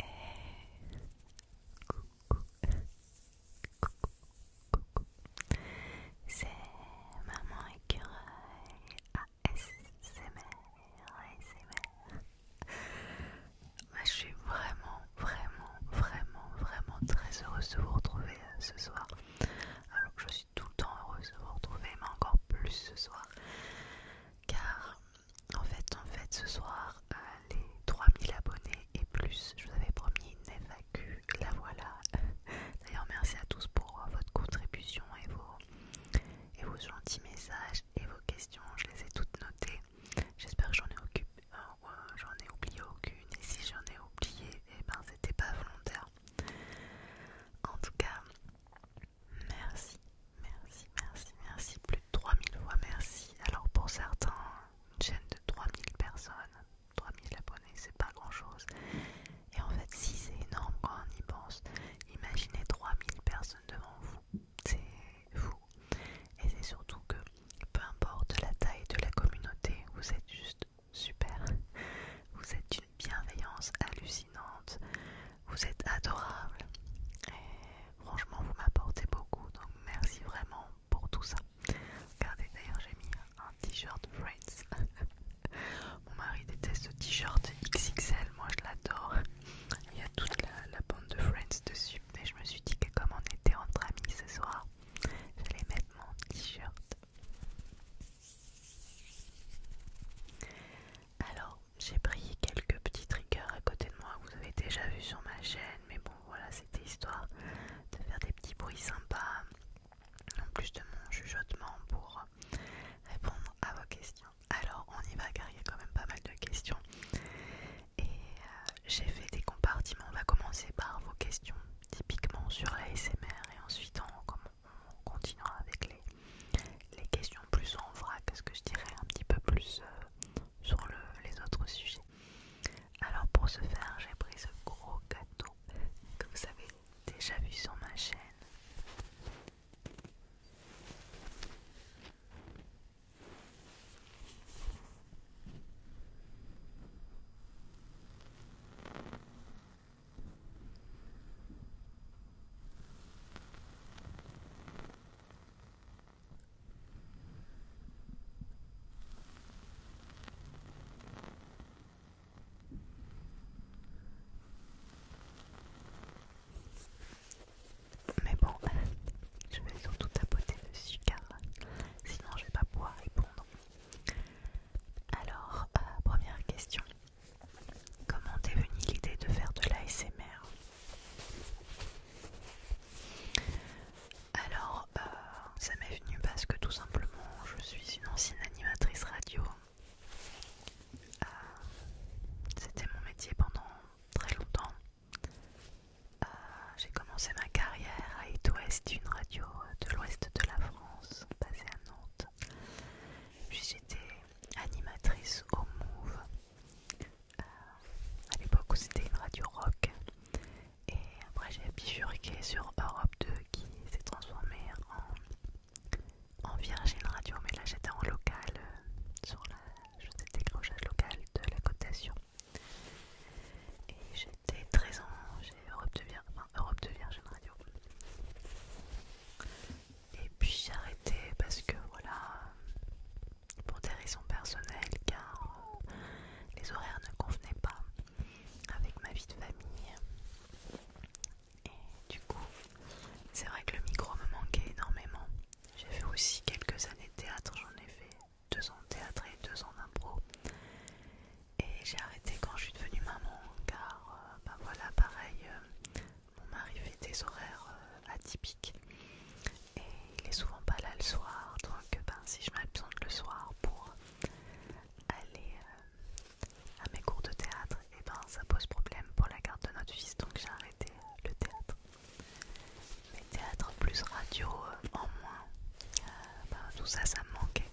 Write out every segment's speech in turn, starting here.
Hey. Coucou, coucou, C'est maman écureuil ASMR, ASMR. je suis vraiment, vraiment, vraiment, vraiment très heureuse de vous retrouver euh, ce soir. Alors je suis tout le temps heureuse de vous retrouver, mais encore plus ce soir, car en fait, en fait, ce soir, euh, les 3000 abonnés et plus, je vous avais promis une FAQ, la voilà. D'ailleurs, merci à tous pour euh, votre contribution et vos, gentils messages et vos questions. Je les ai toutes notées. J'espère que j'en ai, euh, ai oublié aucune. Et si j'en ai oublié, eh ben, c'était pas volontaire. En tout cas, Merci, merci, merci, merci, plus de 3000 fois merci. Alors pour certains, une chaîne de 3000 personnes, 3000 abonnés, c'est pas grand chose. Et en fait, si c'est énorme quand on y pense, imaginez 3000 personnes devant vous, c'est fou. Et c'est surtout que peu importe la taille de la communauté, vous êtes juste super. Vous êtes une bienveillance hallucinante. Vous êtes adorable. Et franchement, vous m'apportez beaucoup. Donc merci vraiment pour tout ça. Regardez, d'ailleurs, j'ai mis un t-shirt Friends. Mon mari déteste le t-shirt XXL. Moi, je l'adore. Il y a toute la, bande de Friends dessus. Mais je me suis dit que comme on était entre amis ce soir, je vais mettre mon t-shirt. Alors, j'ai pris quelques petits triggers à côté de moi vous avez déjà vu sur ma chaîne, mais bon voilà, c'était histoire de faire des petits bruits sympas en plus de mon chuchotement pour répondre à vos questions. Alors on y va car il y a quand même pas mal de questions et euh, j'ai fait des compartiments. On va commencer par vos questions typiquement sur l'ASMR et ensuite on, continuera avec les, questions plus en vrac, ce que je dirais un petit peu plus. Euh, sur les autres sujets. Alors pour ce faire, j'ai pris ce gros gâteau que vous avez déjà vu sur ma chaîne. Mais bon, je vais surtout tapoter le sucre, sinon je vais pas pouvoir répondre. Alors, euh, première question. Comment t'es venue l'idée de faire de l'ASMR alors, euh, ça m'est venu parce que tout simplement, je suis une ancienne animatrice radio. Euh, c'était mon métier pendant très longtemps. Euh, j'ai commencé ma carrière à et West, une radio de l'ouest de la France, basée à Nantes. Puis j'étais animatrice au Move euh, à l'époque où c'était une radio rock. Et après j'ai bifurqué sur Europe 2 qui s'est transformée en, Virgin Radio. Mais là j'étais en local, euh, sur la, je faisais des de la cotation. Et j'étais très en Europe Europe 2 Virgin Radio. Et puis j'ai arrêté parce que voilà, pour des raisons personnelles car euh, les horaires ne convenaient pas avec ma vie de famille. Et du coup, c'est vrai que le micro me manquait énormément. J'ai fait aussi quelques années de théâtre, j'en ai fait deux ans de théâtre et deux ans impro Et j'ai arrêté quand je suis devenue maman car, euh, bah voilà, pareil, euh, mon mari fait des horaires euh, atypiques et il est souvent pas là le soir, donc ben, si je m'absente le soir pour aller euh, à mes cours de théâtre, et ben ça pose problème pour la garde de notre fils, donc j'ai arrêté euh, le théâtre. Mais théâtre plus radio en moins, ben, tout ça, ça me manquait.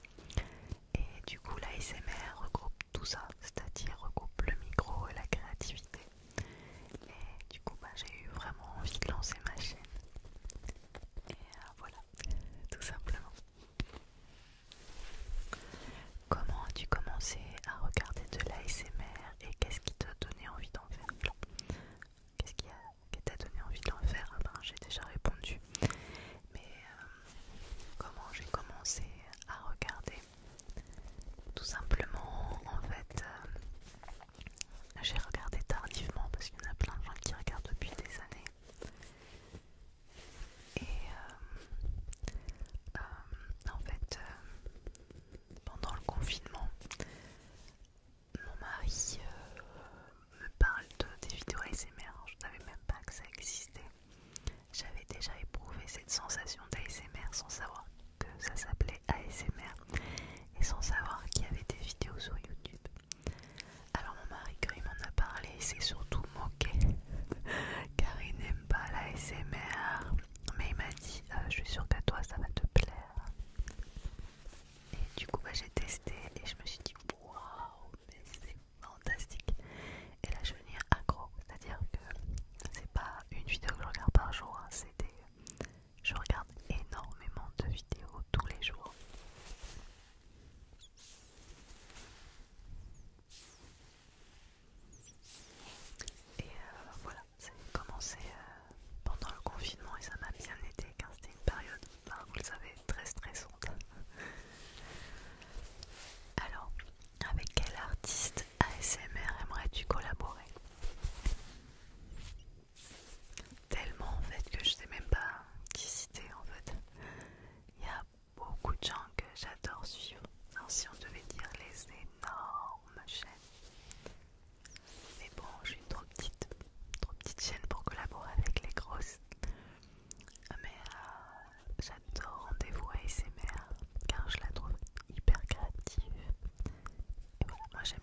Et du coup, l'ASMR regroupe tout ça, c'est-à-dire regroupe le micro et la créativité. Et du coup, bah, j'ai eu vraiment envie de lancer ma chaîne. Et euh, voilà, tout simplement. Comment as-tu commencé à regarder de l'ASMR et qu'est-ce qui t'a donné envie d'en faire Qu'est-ce qui t'a donné envie d'en faire ah ben, J'ai déjà répondu. Mais euh, comment j'ai commencé à regarder tout simplement, en fait, euh, j'ai regardé tardivement parce qu'il y en a plein de gens qui regardent depuis des années. Et euh, euh, en fait, pendant le confinement, mon mari me parle de, des vidéos ASMR. Je ne savais même pas que ça existait. J'avais déjà éprouvé cette sensation d'ASMR sans savoir que ça s'appelait ASMR et sans savoir qu'il y avait des vidéos sur YouTube. Alors mon mari quand il m'en a parlé il s'est surtout moqué car il n'aime pas l'ASMR mais il m'a dit euh, je suis sûre qu'à toi ça va te plaire et du coup bah, j'ai testé et je me suis dit waouh mais c'est fantastique et là je vais venir accro c'est à dire que c'est pas une vidéo que je regarde par jour c'était... Hein, c'est des je regarde énormément de vidéos tous les jours. Et euh, voilà, ça a commencé euh, pendant le confinement et ça m'a bien été, car c'était une période, bah, vous le savez, très stressante. Alors, avec quel artiste ASMR aimerais-tu collaborer Tellement en fait que je sais même pas qui citer en fait. Il y a beaucoup de gens que j'adore suivre. si on devait dire les énormes chaînes. Mais bon, je suis une trop petite, trop petite chaîne pour collaborer avec les grosses. Mais euh, j'adore rendez-vous ASMR car je la trouve hyper créative, moi j'aime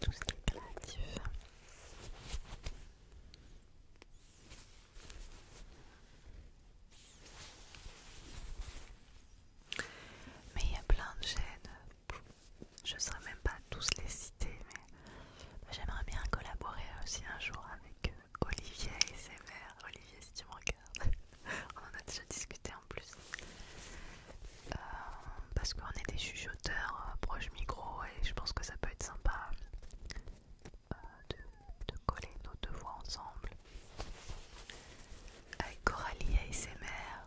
tout ce qui est créatif. Mais il y a plein de chaînes, je ne saurais même pas tous les citer, mais j'aimerais bien collaborer aussi un jour avec euh, Olivier et ses mères. Olivier, si tu me regardes. on en a déjà discuté en plus. Euh, parce qu'on est des chuchoteurs euh, proche micro et je pense que ça peut être sympa euh, de, coller nos deux voix ensemble. Avec Coralie ASMR.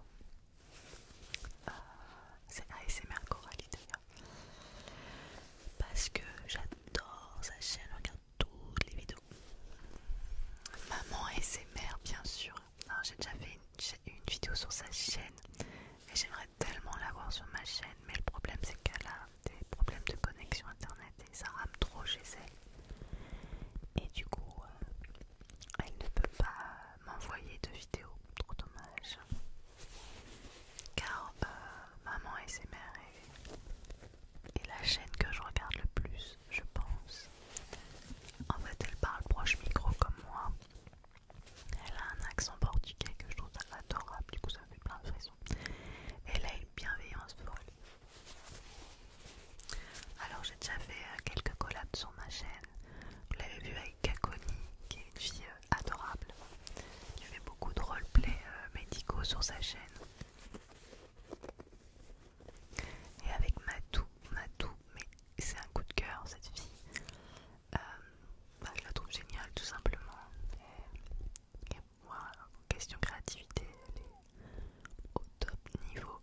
C'est ASMR Coralie d'ailleurs. Parce que j'adore sa chaîne, regarde toutes les vidéos. Maman ASMR bien sûr. Alors j'ai déjà fait une, vidéo sur sa chaîne et j'aimerais tellement l'avoir sur ma chaîne, mais le problème c'est qu'elle a des problèmes de connexion internet et ça rame trop chez elle. Et du coup, euh, elle ne peut pas m'envoyer de vidéos, trop dommage. Car bah, maman et ses mères est la chaîne que je regarde le plus je pense. En fait, elle parle proche micro comme moi. Elle a un accent portugais que je trouve adorable, du coup ça me fait plein de frissons. Elle a une bienveillance folle. Alors j'ai déjà fait euh, quelques collabs sur ma chaîne. Vous l'avez vu avec Kakoni, qui est une fille euh, adorable, qui fait beaucoup de roleplay euh, médicaux sur sa chaîne. Et avec Matou, Matou, mais c'est un coup de cœur cette fille. Euh, bah, je la trouve géniale tout simplement. Et, voilà, moi, question créativité, elle est au top niveau.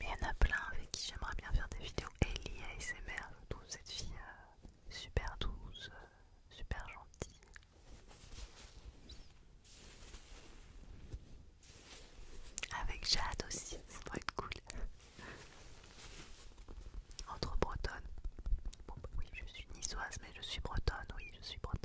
Mais il y en a plein avec qui j'aimerais bien faire des vidéos. Ellie ASMR, je cette fille euh, super douce, euh, super gentil. Avec Jade aussi, ça va être cool. Entre bretonnes. Bah oui, je suis niçoise, mais je suis bretonne, oui, je suis bretonne.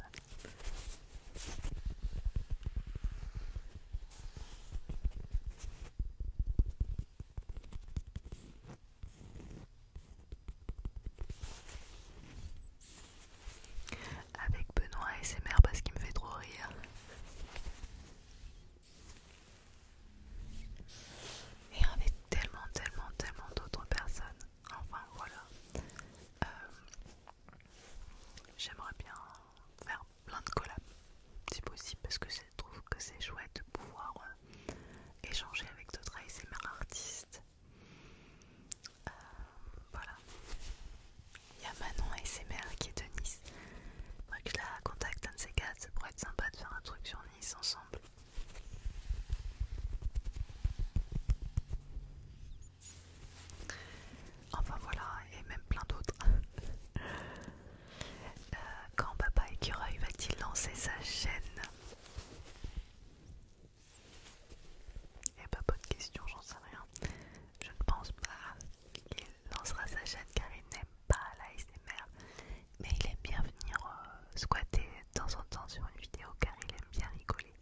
Avec Benoît et ses mères parce qu'il me fait trop rire. Et avec tellement, tellement, tellement d'autres personnes. Enfin voilà. Euh, j'aimerais bien faire plein de collabs si possible parce que c'est je trouve que c'est chouette de pouvoir euh, échanger avec d'autres ASMR artistes. Euh, voilà. Il y a Manon ASMR qui est de Nice. Faudrait que je la contacte un de ces quatre, ça pourrait être sympa de faire un truc sur Nice ensemble. Enfin voilà, et même plein d'autres. Euh, quand Papa Écureuil va-t-il lancer sa chaîne pas beaucoup de questions j'en sais rien. Je ne pense pas qu'il lancera sa chaîne car il n'aime pas la SMR. Mais il aime bien venir euh, squatter de temps en temps sur une vidéo car il aime bien rigoler.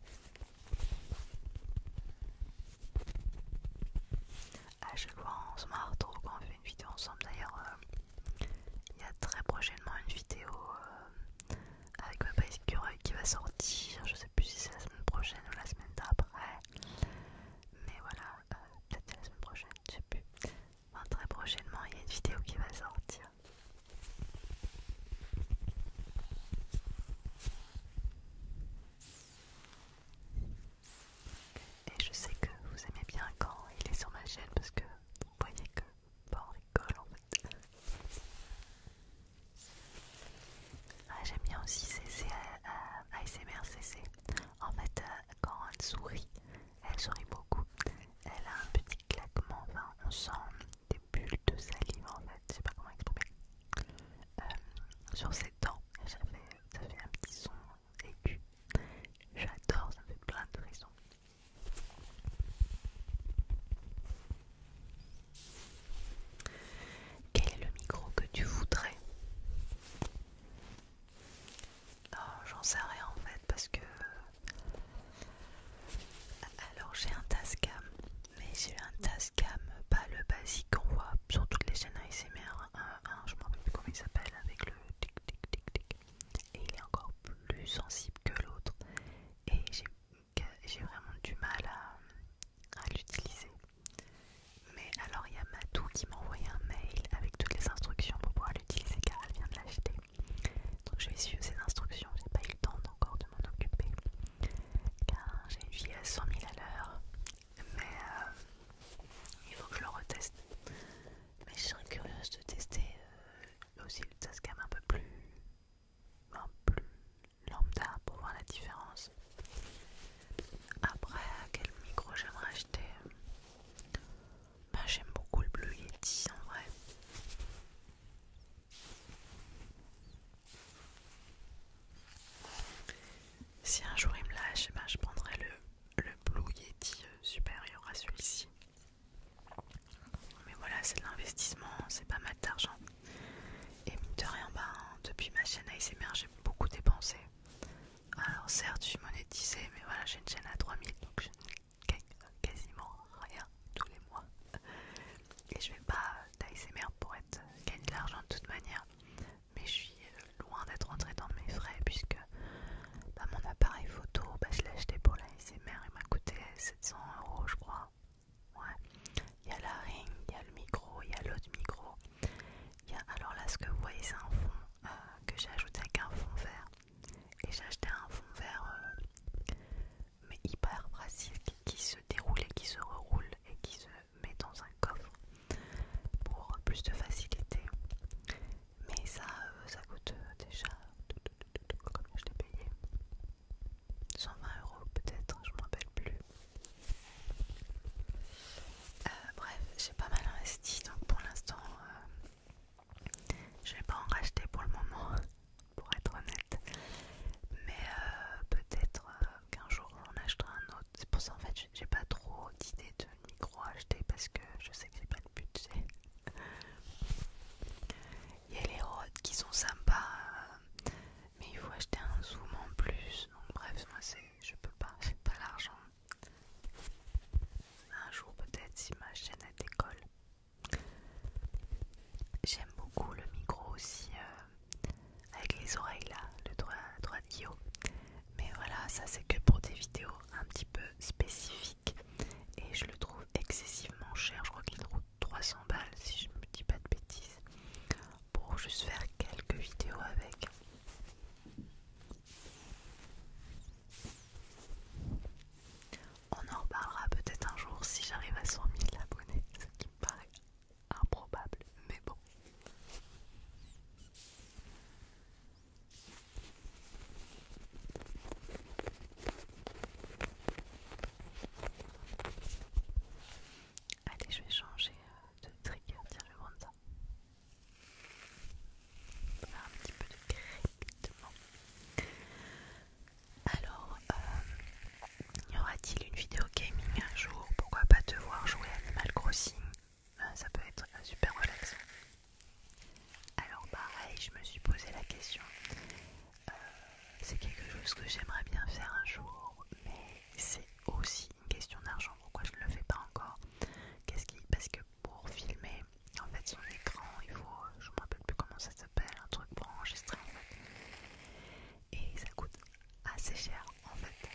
Ah je fois on se marre trop quand on fait une vidéo ensemble. D'ailleurs, euh, il y a très prochainement une vidéo euh, avec Papa base qui va sortir. Je sais plus si c'est la semaine prochaine ou la semaine d'après. Mais voilà, euh, peut-être la semaine prochaine, je sais plus. très prochainement, il y a une vidéo qui va sortir. Et je sais que vous aimez bien quand il est sur ma chaîne parce que vous voyez que pas en en fait. Ah, j'aime bien aussi CC, ASMR CC. En fait, euh, quand elle sourit, elle sourit beaucoup. Elle a un petit claquement, enfin, on sent des bulles de salive en fait, je sais pas comment exprimer. Euh, sur ses dents, ça fait, un petit son aigu. J'adore, ça fait plein de raisons. Quel est le micro que tu voudrais j'en sais rien en fait parce que. Alors j'ai un Tascam, mais j'ai un Tascam, pas le basique qu'on voit sur toutes les chaînes ASMR. 1 je me rappelle plus comment il s'appelle avec le tic tic tic tic et il est encore plus sensible que l'autre et j'ai vraiment du mal à, l'utiliser. Mais alors il y a Matou qui m'a envoyé un mail avec toutes les instructions pour pouvoir l'utiliser car elle vient de l'acheter. Donc je vais suivre ces instructions, j'ai pas eu le temps encore de m'en occuper car j'ai une vie à 100 000 à l'heure. Mais euh, il faut que je le reteste. Mais je serais curieuse de tester euh, aussi, ça se un peu plus, un plus lambda pour voir la différence. Après, quel micro j'aimerais acheter bah, J'aime beaucoup le bleu Yeti en vrai. Si un jour il me lâche, bah, je prendrai le, le Blue Yeti euh, supérieur à celui-ci. Mais voilà, c'est de l'investissement, c'est pas mal d'argent. Et de rien, ben, depuis ma chaîne ASMR, j'ai beaucoup dépensé. Alors certes, je suis monétisée, mais voilà, j'ai une chaîne à 3000, donc je gagne quasiment rien tous les mois. Et je vais pas d'ASMR pour être, euh, gagner de l'argent de toute manière. Mais je suis euh, loin d'être rentrée dans mes frais, puisque bah, mon appareil photo, bah, je l'ai acheté pour l'ASMR il m'a coûté 700 euros, je crois. Ouais, il y a la ring, il y a le micro, il y a l'autre micro. Y a, alors là, ce que vous voyez, c'est un fond euh, que j'ai ajouté avec un fond vert. Et j'ai acheté un fond vert, euh, mais hyper pratique, qui se déroule et qui se reroule et qui se met dans un coffre pour plus de facilité. Mais ça, euh, ça coûte déjà comme je l'ai payé 120 euros peut-être, je me rappelle plus. Euh, bref, j'ai pas mal investi donc pour l'instant euh, je vais pas en racheter pour le moment, pour être honnête. Mais euh, peut-être qu'un jour on achètera un autre. C'est pour ça en fait j'ai pas trop d'idées de micro acheter parce que je sais que j'ai pas le budget. Il y a les rods qui sont sympas, mais il faut acheter un zoom en plus. Donc, bref, moi, je peux pas, n'ai pas l'argent. Un jour, peut-être, si ma chaîne elle décolle. J'aime beaucoup le micro aussi, euh, avec les oreilles là, le droit, droit de Mais voilà, ça c'est que pour des vidéos un petit peu spécifiques et je le trouve excessivement cher. Je crois qu'il coûte 300 balles si je ne me dis pas de bêtises pour juste faire quelques vidéos avec. On en reparlera peut-être un jour si j'arrive à 100 000 abonnés, ce qui me paraît improbable, mais bon. Allez, je vais changer euh, de trigger, tiens, je vais Faire un petit peu de crépitement. Alors, euh, y aura-t-il une vidéo gaming un jour Pourquoi pas te voir jouer Animal Crossing euh, Ça peut être super relaxant. Alors pareil, je me suis posé la question. Euh, c'est quelque chose que j'aimerais bien faire un jour, mais c'est aussi une question d'argent. Pourquoi je ne le fais pas encore Qu'est-ce qui Parce que pour filmer, en fait, son écran, il faut, je me rappelle plus comment ça s'appelle, un truc pour enregistrer Et ça coûte assez cher en fait.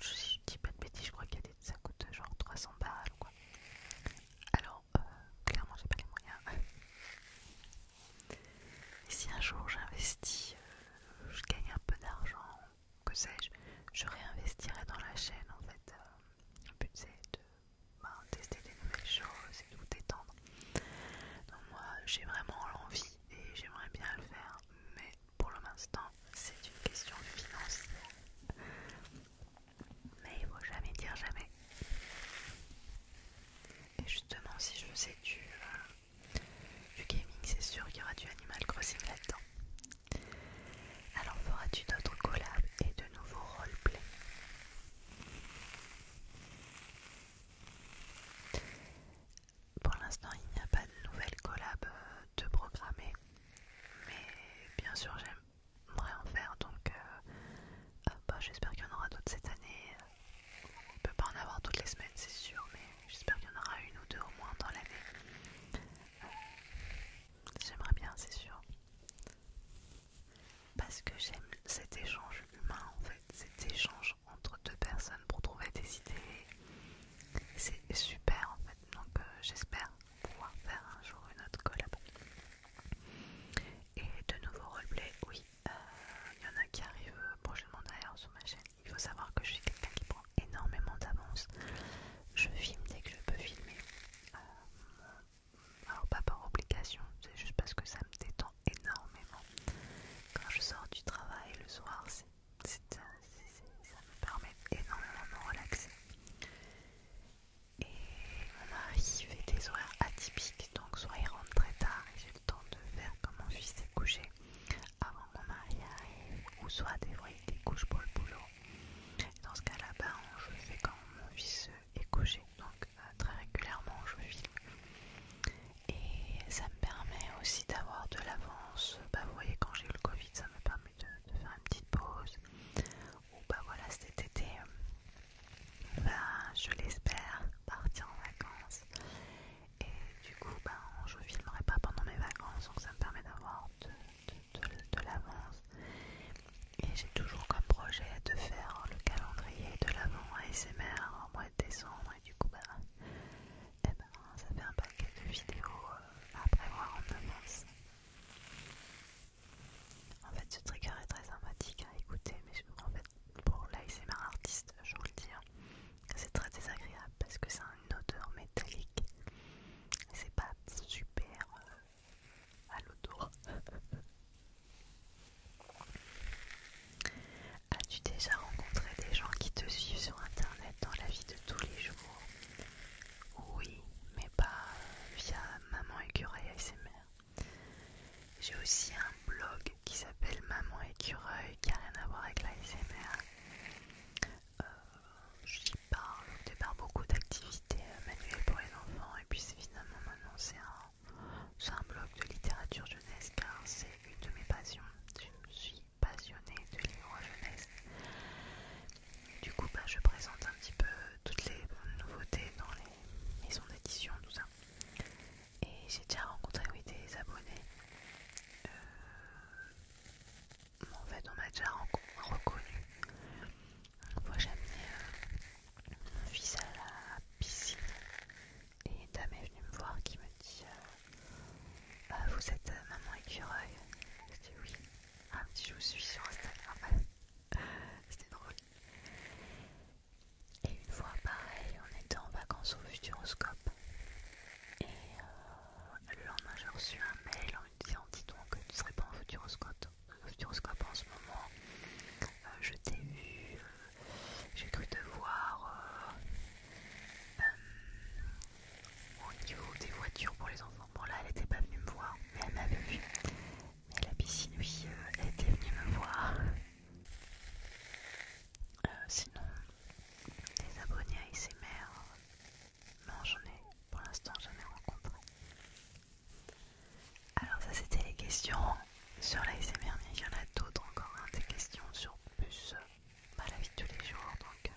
Je dis pas de bêtises, je crois que ça coûte genre 300 balles ou quoi. Alors, euh, clairement, j'ai pas les moyens. si un jour j'investis, euh, je gagne un peu d'argent, que sais-je, je réinvestirai dans la chaîne en fait. Euh, le but c'est de ben, tester des nouvelles choses et tout détendre. Donc, moi j'ai vraiment l'envie et j'aimerais bien le faire, mais pour l'instant c'est une question financière. Mais il faut jamais dire jamais. Et justement, si je sais du, euh, du gaming, c'est sûr qu'il y aura du Animal Crossing là-dedans. Alors, feras-tu d'autres collabs et de nouveaux roleplay Pour l'instant, il n'y a pas de nouvelles collabs euh, de programmer, mais bien sûr, j'aime j'aimerais en faire donc euh, euh, bah, j'espère qu'il y en aura d'autres cette année on peut pas en avoir toutes les semaines c'est sûr mais j'espère qu'il y en aura une ou deux au moins dans l'année euh, j'aimerais bien c'est sûr parce que j'aime cet échange humain en fait cet échange entre deux personnes pour trouver des idées c'est super en fait donc j'espère pouvoir faire un jour une autre collab et de nouveaux roleplay, oui, euh, il y en a qui arrivent prochainement derrière sur ma chaîne. Il faut savoir que je suis quelqu'un qui prend énormément d'avance. Je filme dès que je peux filmer. Euh, alors pas par obligation, c'est juste parce que ça me détend énormément. Quand je sors du travail le soir, ça me permet énormément de me relaxer. Et mon mari fait des horaires atypiques, donc soit il rentre très tard et j'ai le temps de faire quand mon fils est couché avant mon mari arrive, ou soit des fois il couches pour le boulot. Dans ce cas-là, ben, je fais quand mon fils euh, est couché, donc euh, très régulièrement je vis. Et ça me permet aussi d'avoir de l'avance. Bah, vous voyez, quand j'ai eu le Covid, ça me permet de, de faire une petite pause. Ou bah voilà, cet été, euh, ben, je l'espère, partir en vacances. Et du coup, ben, je filmerai pas pendant mes vacances, donc ça me permet d'avoir de, l'avance. Et j'ai toujours comme projet de faire le calendrier de l'avant ASMR en mois de décembre. Et du coup, ben, eh ben, ça fait un paquet de vidéos euh, à prévoir en avance. En fait, ce trigger est très sympathique à écouter, mais en fait, pour l'ASMR artiste, je vous le dire, hein, c'est très désagréable parce que c'est une odeur métallique. C'est pas super euh, à l'odeur. As-tu déjà rencontré des gens qui te suivent sur internet dans la vie de tous les jours Oui, mais pas euh, via Maman Écureuil ASMR. J'ai aussi un blog qui s'appelle Maman Écureuil qui n'a rien à voir avec l'ASMR. Euh, j'y parle au départ beaucoup d'activités euh, manuelles pour les enfants et puis finalement maintenant c'est un, blog de littérature jeunesse car c'est une de mes passions. Je suis passionnée de livres jeunesse. Du coup bah, je présente un petit peu toutes les nouveautés dans les maison d'édition, tout ça. Et j'ai déjà rencontré des abonnés. Euh, en fait, on m'a déjà reconnu. Une fois, j'ai amené euh, mon fils à la piscine et une dame est venue me voir qui me dit euh, bah, Vous êtes maman écureuil J'ai dit « oui. Ah, je vous suis sur Instagram. C'était drôle. Et une fois pareil, on était en vacances au Futuroscope. Et euh, le lendemain, j'ai reçu un mail en me disant Dis donc, tu ne serais pas au Futuroscope, au euh, Futuroscope en ce moment. Euh, je t'ai vu, j'ai cru te voir au niveau des voitures pour les enfants. Bon, là, elle n'était pas venue me voir, mais elle m'avait vu. Mais la piscine, oui, euh, elle était venue me voir. Euh, sinon, des abonnés à ASMR, non, j'en ai pour l'instant jamais rencontré. Alors, ça, c'était les questions sur la mais il y en a d'autres encore, hein, des questions sur plus la vie de tous les jours, donc euh,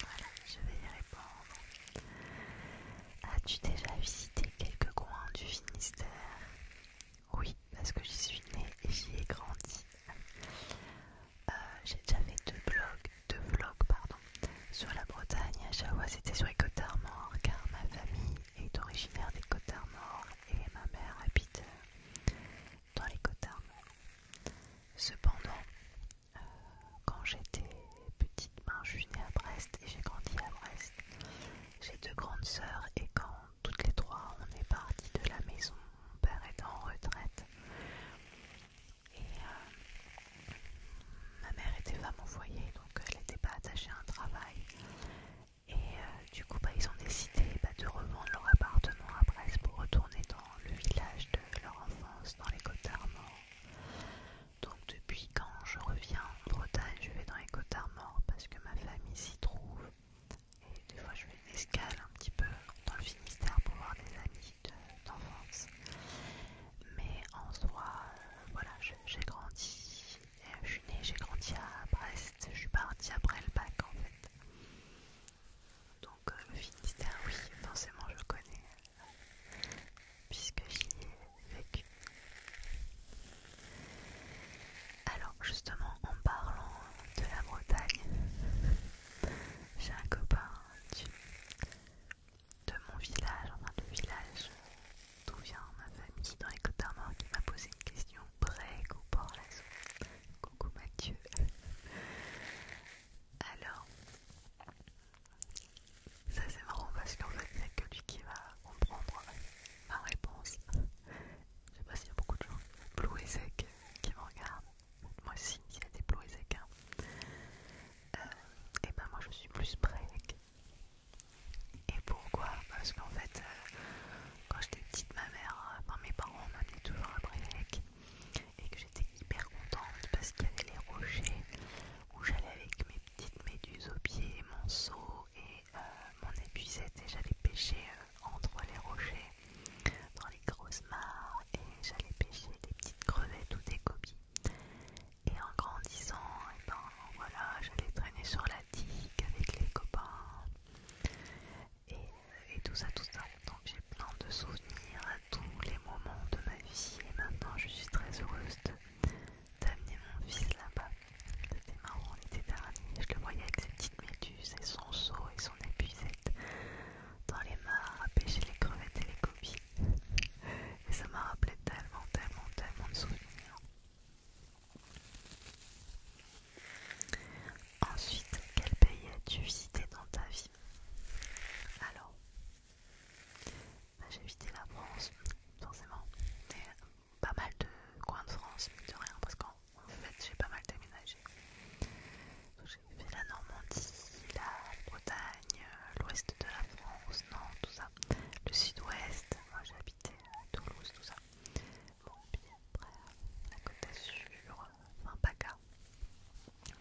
voilà, je vais y répondre. As-tu déjà visité quelques coins du Finistère oui, parce que j'y suis née et j'y ai grandi. Euh, j'ai déjà fait deux blogs, deux vlogs pardon, sur la Bretagne. À chaque c'était sur les Côtes d'Armor, car ma famille est originaire des Côtes d'Armor et ma mère habite euh, dans les Côtes d'Armor. Cependant, euh, quand j'étais petite, ben, je suis née à Brest et j'ai grandi à Brest. J'ai deux grandes sœurs et quand toutes les trois on est parti de la maison, mon père est en retraite et euh, ma mère était femme au foyer donc elle n'était pas attachée à un travail et euh, du coup bah, ils ont décidé bah, de revendre leur appartement à Brest pour retourner dans le village de leur enfance dans les Côtes d'Armor depuis quand je reviens en Bretagne, je vais dans les Côtes d'Armor parce que ma famille s'y trouve. Et des fois je vais une escale un petit peu dans le Finistère pour voir des amis d'enfance. mais en soi, euh, voilà, j'ai grandi, euh, je suis née, j'ai grandi à Brest, je suis partie après le bac en fait. Donc euh, le Finistère, oui, forcément je connais, puisque j'y ai alors justement en parlant de la Bretagne, j'ai un copain de mon village, enfin de village d'où vient ma famille dans les côtes d'Armor qui m'a posé une question break ou port lasso. Coucou Mathieu. Alors ça c'est marrant parce qu'en fait il n'y a que lui qui va comprendre ma réponse. Je sais pas s'il y a beaucoup de gens. Blue et qui me regardent. Moi aussi, il y a des Blue et et hein. euh, eh ben moi je suis plus break. Et pourquoi Parce qu'en fait, euh, quand j'étais petite, ma mère, enfin mes parents m'amenaient toujours à break. Et que j'étais hyper contente parce qu'il y avait les rochers où j'allais avec mes petites méduses au pied, mon seau et euh, mon épuisette et j'allais pêcher euh, entre les rochers dans les grosses mares et j'allais pêcher des petites crevettes ou des coquilles Et en grandissant, et eh ben, voilà, j'allais traîner sur la digue avec les copains et, et tout ça, tout ça. Donc j'ai plein de souvenirs à tous les moments de ma vie et maintenant je suis très heureuse de d'amener mon fils là-bas. C'était marrant, on était dernier. Je le voyais avec ses petites méduses et son seau et son épuisette dans les mares à pêcher les crevettes et les copies. Et ça m'a rappelé tellement, tellement, tellement de souvenirs. Ensuite, quel pays as-tu visité dans ta vie Alors, bah, j'ai visité la France, forcément, mais pas mal de coins de France, mais de rien, parce qu'en fait j'ai pas mal déménagé. J'ai fait la Normandie, la Bretagne, l'ouest de la France, non, tout ça. Le sud-ouest, moi j'habitais à Toulouse, tout ça. Bon, puis après, la Côte sur, enfin PACA.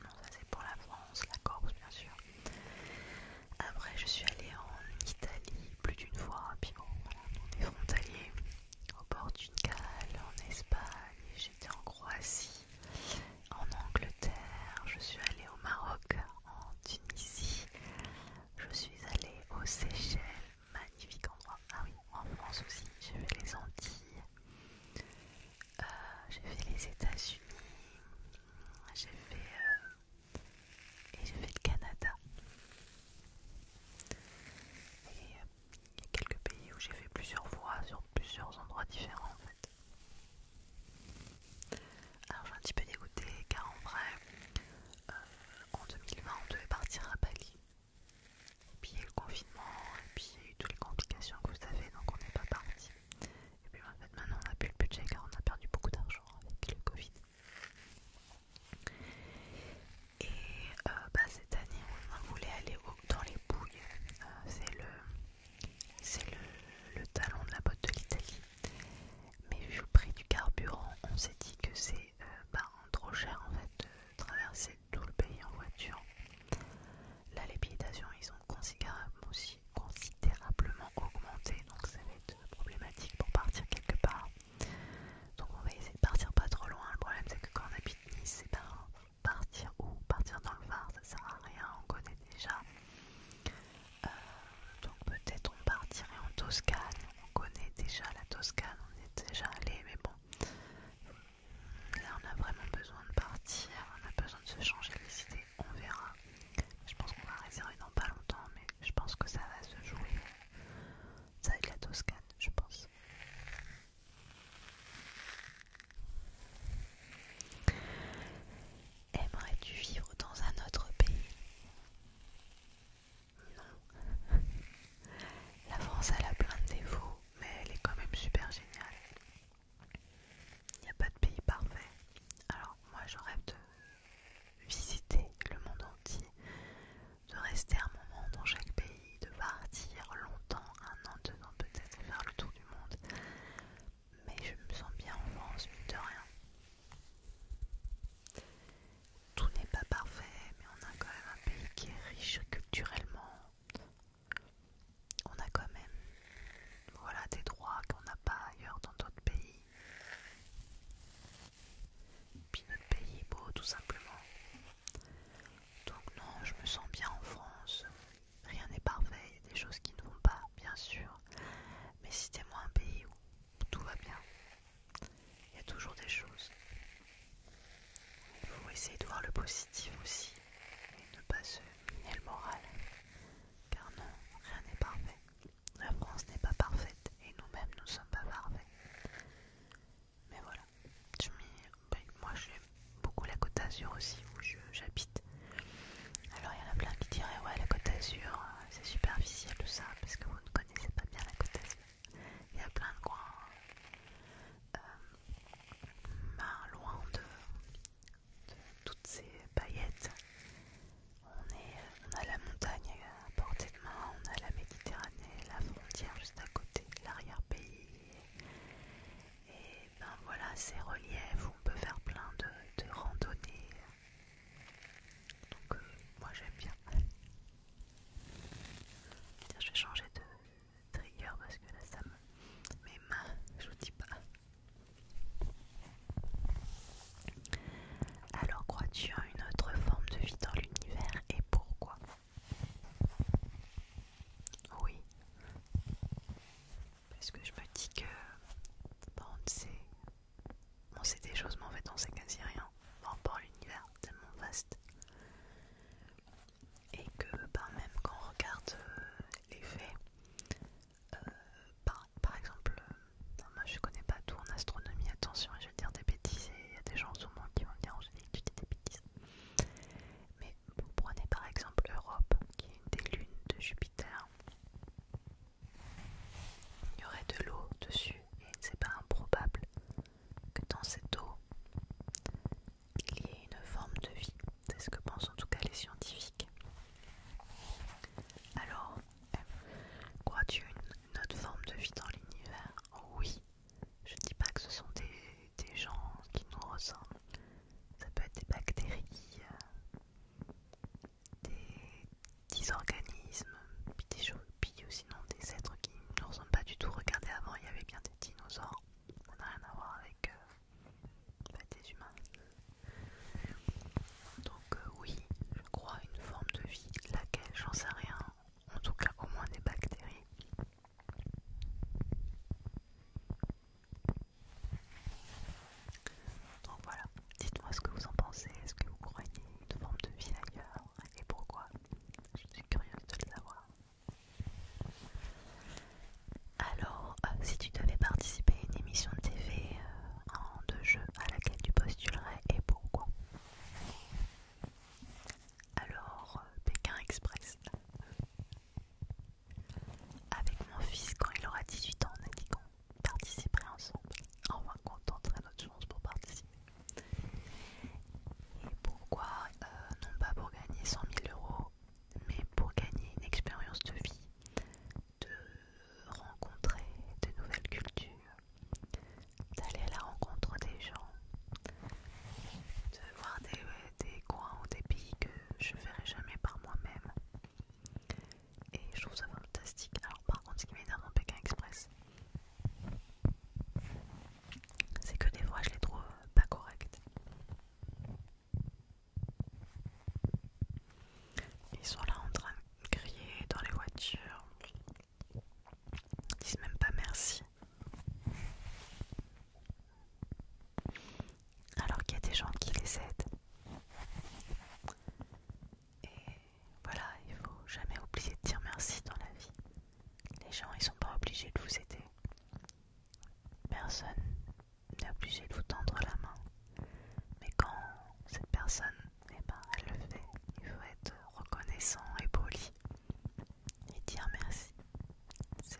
Non, ça c'est pour la France, la Corse, bien sûr. Après, je suis allée en Italie plus d'une fois, puis on est au bord en Espagne, j'étais en Croatie, en Angleterre, je suis allée au Maroc, en Tunisie, je suis allée aux Seychelles, magnifique endroit, ah oui, en France aussi, j'ai fait les Antilles, euh, j'ai fait les États-Unis, j'ai fait euh, et j'ai fait le Canada. Et euh, il y a quelques pays où j'ai fait plusieurs fois sur plusieurs endroits différents en fait. Alors je suis un petit peu dégoûté car en vrai, euh, en 2020 on devait partir à Bali. Et puis il y a eu le confinement, et puis il y a eu toutes les complications que vous savez, donc on n'est pas parti. Et puis en fait maintenant on n'a plus le budget car on a perdu beaucoup d'argent avec le Covid. Et euh, bah, cette année, on voulait aller dans les bouilles. Euh, c'est le, c'est le, talon de la botte de l'Italie. Mais vu le prix du carburant, on s'est dit que c'est euh, bah, trop cher en fait de traverser tout le pays en voiture. La les ils ont considérablement aussi considérablement augmenté, donc ça va être problématique pour partir quelque part. Donc on va essayer de partir pas trop loin. Le problème c'est que quand on habite Nice, c'est pas partir où Partir dans le Var, ça sert à rien, on connaît déjà. Euh, donc peut-être on partirait en Toscane. On connaît déjà la Toscane, on est déjà allé, mais bon. Là on a vraiment besoin de partir, on a besoin de se changer les idées, on verra. Je pense qu'on va réserver dans pas longtemps, mais je pense que ça va se jouer. Ça va être la Toscane, je pense. Aimerais-tu vivre dans un autre pays Non. La France, elle a plein de défauts, mais elle est quand même super géniale. Il n'y a pas de pays parfait. Alors, moi, je rêve de visiter le monde entier, de rester un moment dans chaque pays, de partir longtemps, un an, deux ans peut-être, faire le tour du monde. Mais je me sens bien en France, de rien. Tout n'est pas parfait, mais on a quand même un pays qui est riche culturellement. On a quand même des droits qu'on n'a pas ailleurs dans d'autres pays puis notre pays est beau tout simplement. Donc non, je me sens bien en France. Rien n'est parfait, il y a des choses qui ne vont pas, bien sûr. Mais citez-moi un pays où tout va bien. Il y a toujours des choses. Il faut essayer de voir le positif aussi et ne pas se miner le moral. Car non, rien n'est parfait la France n'est pas parfaite et nous-mêmes nous sommes pas parfaits. Mais voilà, ben, moi j'aime beaucoup la Côte d'Azur aussi où j'habite. Alors il y en a plein qui diraient ouais la Côte d'Azur euh, c'est superficiel tout ça parce que vous ne connaissez pas bien la Côte d'Azur. Il y a plein de coins euh, ben, loin de toutes ces paillettes euh, on, a la montagne euh, à portée de main, on a la Méditerranée, la frontière juste à côté, l'arrière-pays. Et ben voilà, ces reliefs, on peut faire plein de, randonnées. Donc euh, moi j'aime bien. je vais changer de trigger parce que là ça me... met mains, je vous dis pas. Alors crois-tu à une autre forme de vie dans l'univers et pourquoi Oui. Parce que je me dis que on sait, des choses, mais en fait on sait quasi rien par rapport à l'univers tellement vaste. Et que ben, même quand on regarde euh, les faits, euh, par, exemple, euh, moi je connais pas tout en astronomie, attention, je vais dire des bêtises il y a des gens au monde qui vont me dire que tu dis des bêtises. Mais vous prenez par exemple l'Europe qui est une des lunes de Jupiter. Il y aurait de l'eau dessus et c'est pas improbable que dans cette eau il y ait une forme de vie. C'est ce que pensent en tout cas les scientifiques. Alors, crois-tu une une autre forme de vie dans l'univers. Oui, je dis pas que ce sont des, gens qui nous ressemblent. Ça peut être des bactéries, euh, des, organismes, puis, des choses, puis sinon des êtres qui ne nous ressemblent pas du tout. Regardez avant, il y avait bien des dinosaures. on n'a rien à voir avec euh, bah, des humains. Donc euh, oui, je crois une forme de vie laquelle j'en sais rien en tout cas au moins des bactéries. Donc voilà, dites-moi ce que vous en pensez, est-ce que vous croyez une forme de vie ailleurs et pourquoi Je suis curieuse de le savoir. Alors, euh, si tu devais participer à une émission de TV euh, en deux jeux à laquelle tu postulerais et pourquoi alors, euh, Pékin Express. Avec mon fils, quand il aura 18 ans, on a dit qu'on participerait ensemble. On va contenter notre chance pour participer. Et pourquoi euh, Non pas pour gagner 100 000 euros, mais pour gagner une expérience de vie, de rencontrer de nouvelles cultures, d'aller à la rencontre des gens, de voir des, des coins ou des pays que je verrai jamais par moi-même. Et je trouve ça fantastique. Alors par contre ce qui m'étonne dans Pékin Express, c'est que des fois je les trouve pas corrects. Ils sont là en train de crier dans les voitures. Ils disent même pas merci. Alors qu'il y a des gens qui les aident. Et voilà, il faut jamais oublier de dire merci dans la vie. Les gens, ils sont pas obligés de vous aider. Personne n'est obligé de vous tendre la main. Mais quand cette personne et eh ben, elle le fait. Il faut être reconnaissant et poli et dire merci. C'est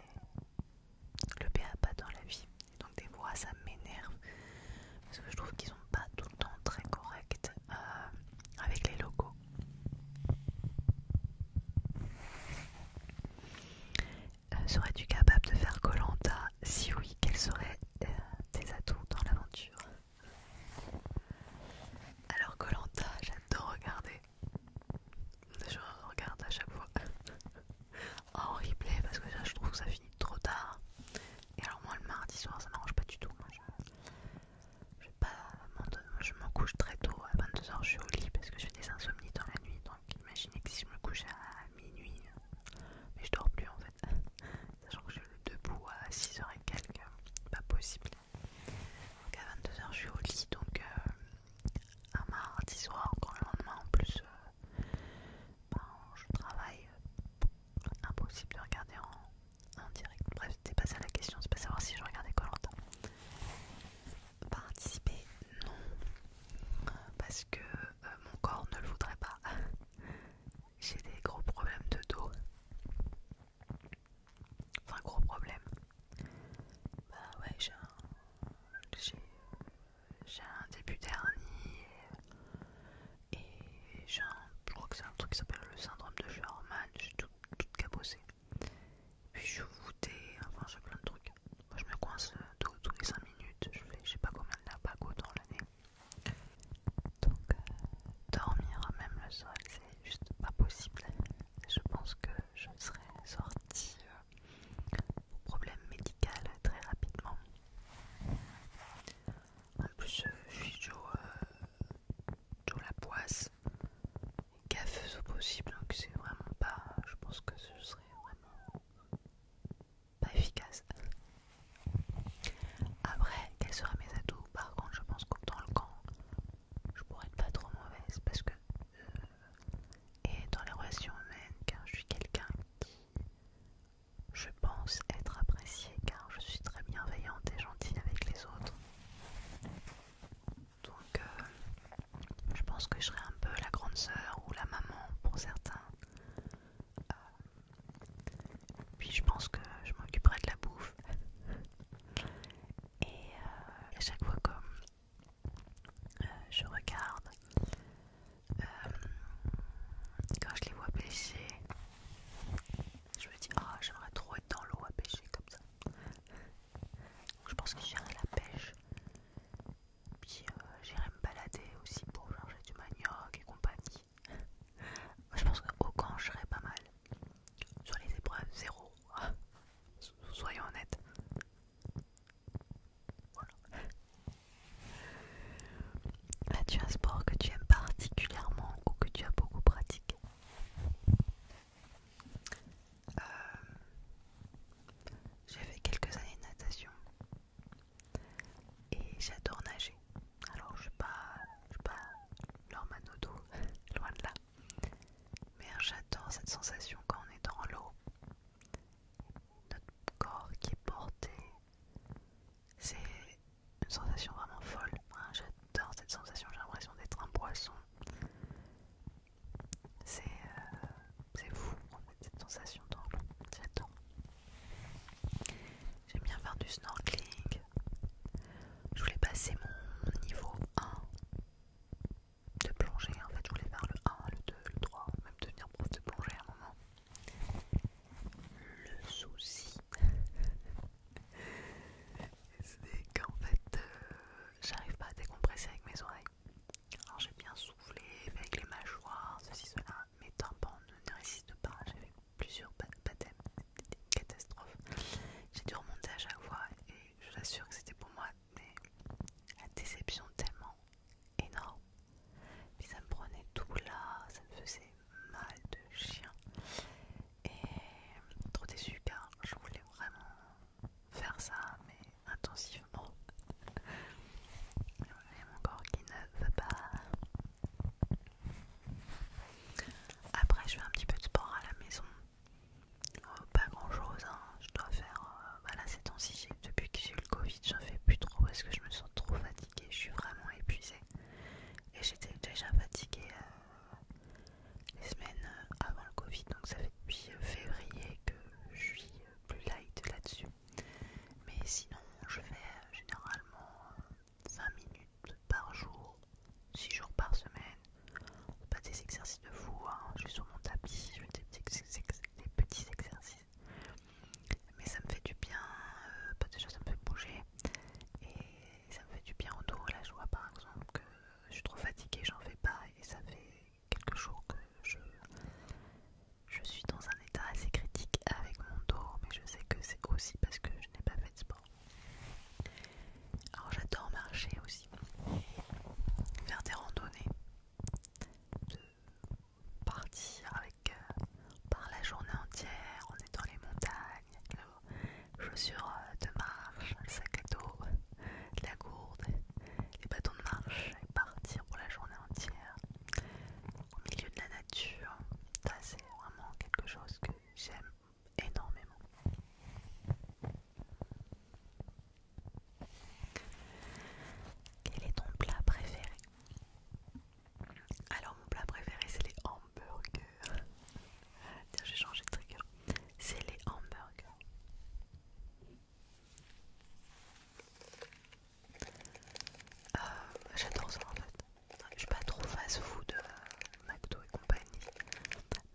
le pas dans la vie. donc des voix, ça m'énerve parce que je trouve qu'ils sont pas tout le temps très corrects euh, avec les locaux. Euh, serais-tu capable de faire Colanta Si oui, quels seraient euh, tes atouts dans l'aventure alors Colanta, j'adore regarder. Je regarde à chaque fois en replay parce que ça, je trouve que ça finit trop tard. Et alors moi le mardi soir ça m'arrange pas du tout. je, me m'en couche très tôt. À 22h je suis au lit parce que j'ai des insomnies dans la nuit. Donc imaginez que si je me couche à minuit, mais je dors plus en fait. Sachant que je suis debout à 6h et quelques, pas possible. Donc à 22h, je suis au lit, donc à euh, un mardi soir, encore le lendemain en plus euh, ben, je travaille, impossible de regarder en, direct. Bref, c'était pas ça la question, c'est pas savoir si je regardais longtemps Participer, non, parce que euh, mon corps ne le voudrait pas. J'ai des gros problèmes de dos. Enfin, gros problème. Bah ouais, j'ai un, début dernier et, j'ai un, je crois que c'est un truc qui s'appelle le syndrome de Sherman, j'ai tout, tout cabossé. Puis je suis enfin j'ai plein de trucs. Moi je me coince euh, tous les 5 minutes, je fais je sais pas combien de lapagos dans l'année. Donc euh, dormir même le sol, c'est juste pas possible. Je pense que je serais sortie euh, au problème médical très rapidement. En plus, euh, je suis toujours la poisse, gaffeuse au possible, donc c'est vraiment pas. Je pense que ce serait vraiment pas efficace. Après, quels sera mes atouts Par contre, je pense que dans le camp, je pourrais être pas trop mauvaise parce que. Euh, et dans les relations humaines, car je suis quelqu'un qui. Je pense être apprécié car je suis très bienveillante et gentille avec les autres. Donc, euh, je pense que je serai un peu la grande sœur ou la maman pour certains. Euh, puis je pense que je m'occuperai de la bouffe. Et à euh, chaque fois que euh, je regarde, euh, quand je les vois pêcher, je me dis Ah, j'aimerais trop être dans l'eau à pêcher comme ça. je pense que j'irai la pêche. Puis j'irai me balader aussi pour manger du manioc et compagnie. Je pense qu'au camp j'irai pas mal. Sur les épreuves, zéro. Soyons honnêtes. Voilà. As-tu un sport que tu aimes particulièrement ou que tu as beaucoup pratiqué euh, J'ai fait quelques années de natation et j'adore nager. Alors je suis pas, je sais pas loin de là. Mais j'adore cette sensation quand on est dans l'eau. Notre corps qui est porté. C'est une sensation vraiment folle. j'adore cette sensation, j'ai l'impression d'être un poisson. C'est euh, fou en fait cette sensation dans l'eau. J'adore. J'aime bien faire du snorkeling, je voulais passer mon niveau 1 de plongée. En fait, je voulais faire le 1, le 2, le 3, même devenir prof de plongée à un moment. Le souci, c'est qu'en fait, euh, j'arrive pas à décompresser avec mes oreilles. Alors j'ai bien soufflé avec les mâchoires, ceci, cela, mes tympans ne résistent pas. à plusieurs baptêmes, catastrophes, J'ai dû remonter à chaque fois et je l'assure que c'était pour moi, mais la déception tellement énorme. Puis ça me prenait tout là, ça me faisait mal de chien. Et trop déçu car je voulais vraiment faire ça, mais intensivement. mon corps qui ne veut pas. Après, je fais un petit peu de sport à la maison. Euh, pas grand chose, hein. je dois faire. voilà, euh, bah ces temps depuis que j'ai eu le Covid, j'en fais plus trop parce que je me sens trop fatiguée. Je suis vraiment épuisée. Et j'étais déjà fatiguée euh, les semaines avant le Covid, donc ça fait depuis février que je suis plus light là-dessus. Mais sinon, je fais généralement 5 minutes par jour, 6 jours par semaine. Pas des exercices de fou, hein. je suis sur mon tapis, je fais des petits, exercices. Mais ça me fait du bien, Pas euh, bah, déjà ça me fait bouger et ça me fait du bien au dos. Là je vois par exemple que je suis trop fatiguée, j'en fais pas et ça fait quelques jours que je, je suis dans un état assez critique avec mon dos. Mais je sais que c'est aussi parce que je n'ai pas fait de sport. Alors j'adore marcher aussi, faire des randonnées, partir avec euh, par la journée entière, on est dans les montagnes, avec nos chaussures euh, de marche, sac à dos, la gourde, les bâtons de marche et partir pour la journée entière au milieu de la nature. Ça c'est vraiment quelque chose que j'aime énormément. Quel est ton plat préféré Alors mon plat préféré c'est les hamburgers. Tiens j'ai changé de trigger. C'est les hamburgers. Euh, j'adore ça en fait. Je suis pas trop fast food, euh, McDo et compagnie.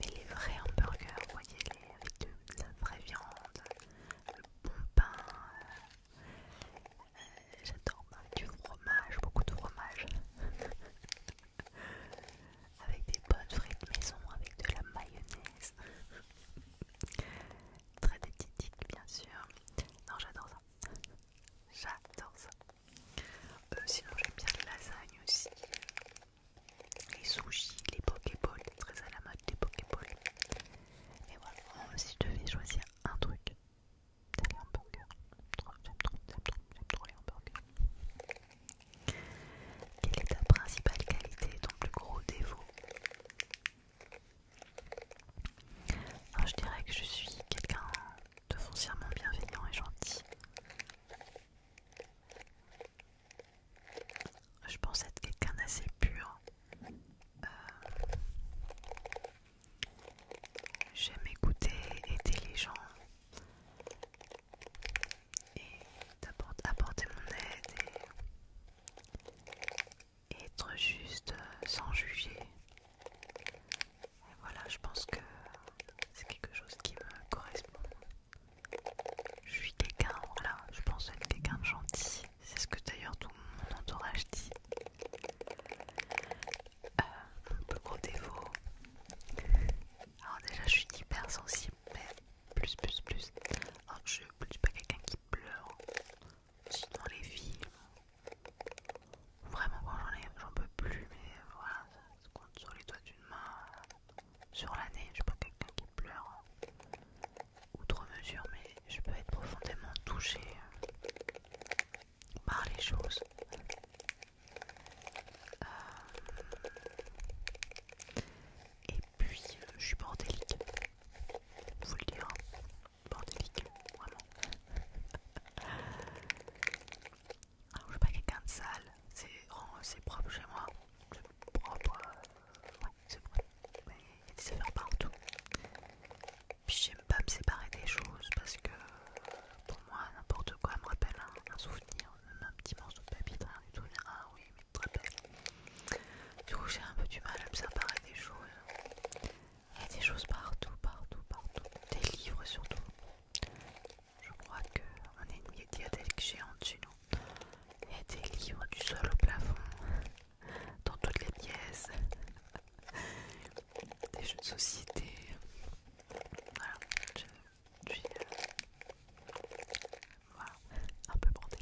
Mais les vrais hamburgers, voyez, les, avec de, la vraie viande, le bon pain, euh, j'adore, du fromage, beaucoup de fromage, avec des bonnes de maison, avec de la mayonnaise, très délicieuse bien sûr. Non, j'adore ça, j'adore ça. Euh, sinon j'aime bien les lasagnes aussi, les sushis, les pokéballs, très à la mode des pokéballs. Et voilà, euh, si je devais choisir un truc, c'est les hamburgers. J'aime trop, j'aime trop, j'aime trop les hamburgers. Quelle est ta principale qualité ton plus gros défaut alors, je dirais que je suis quelqu'un de foncièrement bienveillant et gentil. Je pense être quelqu'un d'assez pur. Euh, j'aime écouter, aider les gens et apporter mon aide et être juste euh, sans juger. Et voilà, je pense que c'est quelque chose qui me correspond. Je suis quelqu'un, voilà, je pense être quelqu'un de gentil. C'est ce que d'ailleurs tout mon entourage dit. Un euh, peu gros défaut. Alors déjà je suis hyper sensible, mais plus plus plus. Alors je ne suis pas quelqu'un qui pleure. Sinon les filles. Vraiment quand j'en ai j'en peux plus mais voilà, sur les doigts d'une main sur la nez, Je suis pas quelqu'un qui pleure outre mesure, mais je peux être profondément touchée par les choses. Euh, et puis, je suis bordélique, Vous le dire, hein. bordélique, vraiment. Alors, ah, je suis pas quelqu'un de sale, c'est propre chez moi. C'est propre, euh, ouais, c'est vrai. Mais il y a des affaires partout. Puis j'aime pas me séparer des choses parce que pour moi, n'importe quoi me rappelle un, souvenir, même un petit morceau de papier, rien du tout. Ah oui, mais très Du coup, j'ai un peu du mal à me séparer des choses. Il y a des choses partout, partout, partout. Des livres surtout. Je crois qu'on est une médiathèque géante chez nous. Il y a des livres du sol au plafond, dans toutes les pièces, des jeux de société. Voilà, je, suis euh, voilà, un peu bordé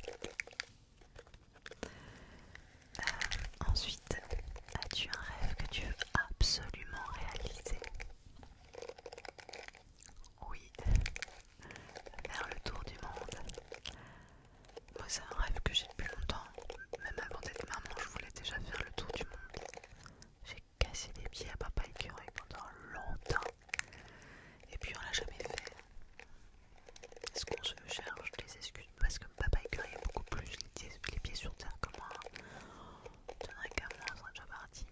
euh, ensuite, as-tu un rêve que tu veux absolument réaliser oui, faire le tour du monde. Moi, c'est un rêve que j'ai depuis longtemps. Même avant d'être maman, je voulais déjà faire le tour du monde. J'ai cassé les pieds à papa écureuil pendant longtemps. Et puis, on l'a jamais fait. Est-ce qu'on se cherche des excuses Parce que papa écureuil a beaucoup plus les pieds sur terre que moi. Hein j'aimerais qu'à moi on est déjà parti.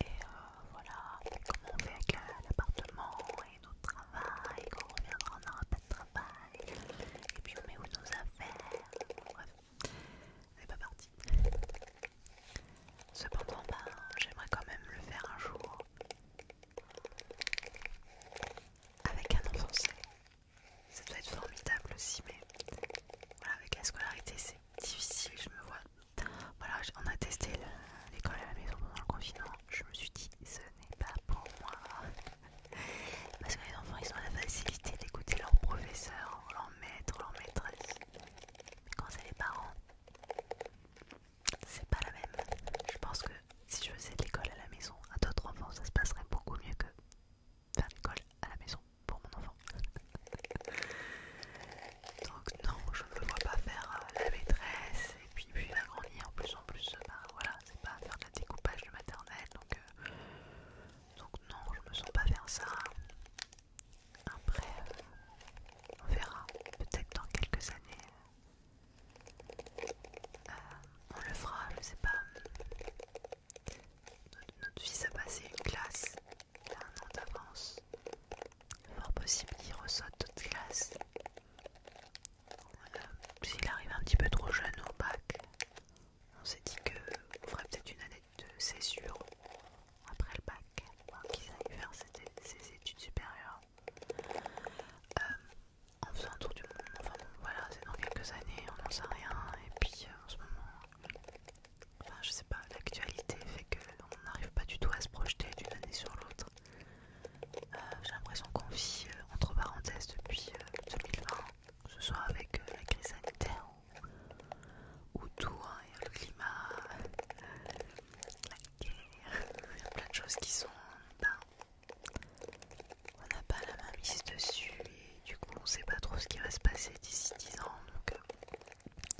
Et euh, voilà, comment on fait avec euh, l'appartement et notre travail, quand on reviendra, on n'aura pas de travail. Et puis on met où nos affaires, bref, c'est pas parti. Cependant, ben, j'aimerais quand même le faire un jour avec un enfant Ça doit être formidable aussi, mais voilà, avec la scolarité, c'est difficile, je me vois. Voilà, on a testé l'école à la maison pendant le confinement. Je me suis dit, ce n'est pas pour moi. Parce que les enfants, ils ont la facilité d'écouter leur professeur, leur maître, leur maîtresse. Mais quand c'est les parents, c'est pas la même. Je pense que si je faisais l'école à la maison à d'autres enfants, ça se passerait beaucoup mieux que faire l'école à la maison pour mon enfant. Donc non, je ne me pas faire euh, la maîtresse et puis la grandir en plus en plus euh, bah, voilà, c'est pas faire de découpage de maternelle donc euh, donc non, je me sens pas faire ça. Après on verra, peut-être dans quelques années on le fera, je sais pas. Notre, notre fils a passé une classe il a un an d'avance. Fort possible qu'il ressorte de classe. S'il arrive un petit peu trop jeune au bac, on s'est dit qu'on ferait peut-être une année de césure après le bac pour qu'il aille faire ses, études supérieures. Euh, on en un tour du monde, enfin bon, voilà, c'est dans quelques années, on n'en sait rien. Et puis euh, en ce moment, Enfin, je sais pas, l'actualité fait qu'on n'arrive pas du tout à se projeter d'une année sur l'autre. Euh, j'ai l'impression qu'on vit euh, entre parenthèses depuis 2020, euh, que ce soit avec la crise sanitaire ou, tout tout, y a le climat, la guerre, il y a plein de choses qui sont. Ben, on n'a pas la main mise dessus et du coup on sait pas trop ce qui va se passer d'ici 10 ans donc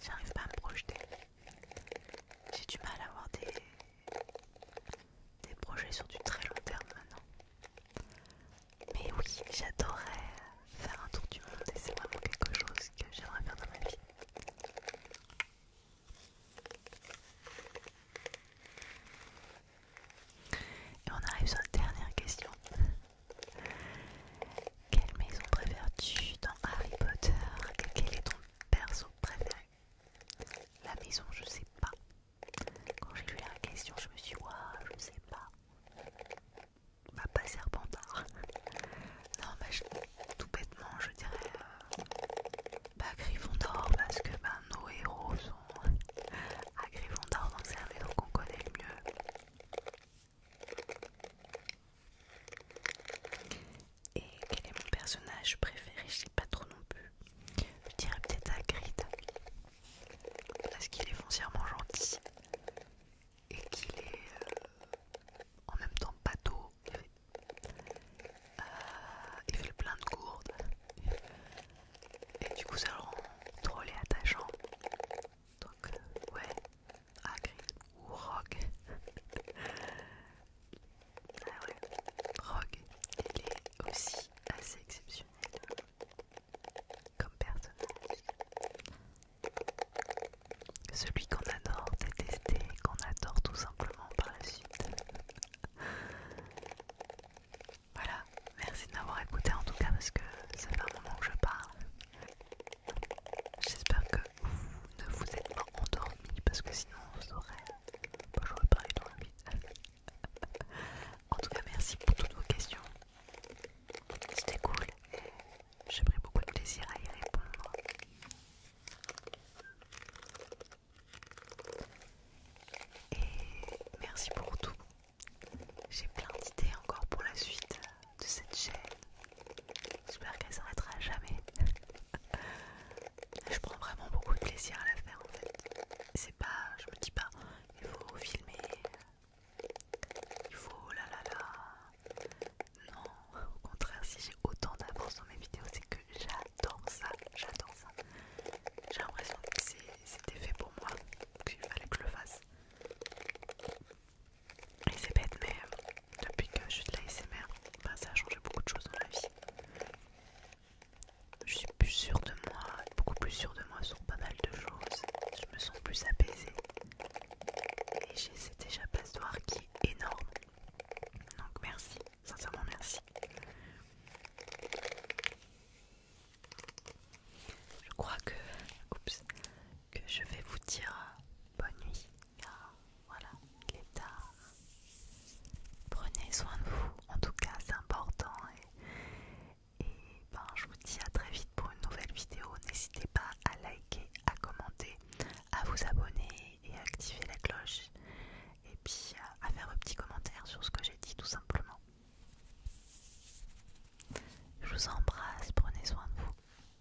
J'arrive pas à me projeter. J'ai du mal à avoir des, projets sur du très long terme maintenant. Mais oui, j'adorerais faire un tour du monde et c'est vraiment quelque chose que j'aimerais faire dans ma vie. Et on arrive sur la dernière question. Quelle maison préfères-tu dans Harry Potter quel est ton perso préféré La maison, je sais pas. Quand j'ai lu la question, je me suis dit, waouh, je sais pas. Bah, pas Serpentard. non, mais bah, tout bêtement, je dirais pas euh, bah, Gryffondor parce que ben nos héros sont à ah, Gryffondor, donc on qu'on connaît le mieux. Et quel est mon personnage préféré Je sais pas trop non plus. Je dirais peut-être Hagrid. Parce qu'il est foncièrement gentil. Et qu'il est euh, en même temps bateau. Il fait, le euh, il fait plein de gourdes. Et du coup ça le rend drôle et attachant. Donc euh, ouais, Agri ou Rogue. ah Rogue, il est aussi assez exceptionnel comme personnage. Celui qu'on adore détester, qu'on adore tout simplement par la suite. voilà, merci de m'avoir écouté en tout cas parce que c'est un moment que je parle. J'espère que vous ne vous êtes pas endormi parce que sinon vous aurez. pas, j'aurais parlé dans la vie. en tout cas, merci pour toutes vos questions. C'était cool. J'ai pris beaucoup de plaisir à y répondre. Et merci pour tout. J'ai plein d'idées encore pour la suite de cette chaîne. J'espère qu'elle s'arrêtera jamais. je prends vraiment beaucoup de plaisir à la faire en fait. C'est pas, je me dis pas, il faut filmer, il faut la la la. Non, au contraire, si j'ai autant d'avance dans mes vidéos, c'est que j'adore ça, j'adore ça. J'ai l'impression que c'était fait pour moi, qu'il fallait que je le fasse. Et c'est bête, mais euh, depuis que je suis de l'ASMR, ben, ça a changé beaucoup de choses dans ma vie. Je suis plus sûre de moi, beaucoup plus sûre de moi sur pas mal de choses. Je me sens plus apaisée. Et j'ai à échappatoire qui est énorme. Donc merci, sincèrement merci. Je crois que... Oups, que je vais vous dire euh, bonne nuit car voilà, il est tard. Prenez soin de vous, en tout cas c'est important et, ben, je vous dis à très vite pour une nouvelle vidéo. N'hésitez pas à liker, à commenter, à vous abonner et à activer la cloche et puis à, à faire un petit commentaire sur ce que j'ai dit tout simplement. Je vous embrasse, prenez soin de vous.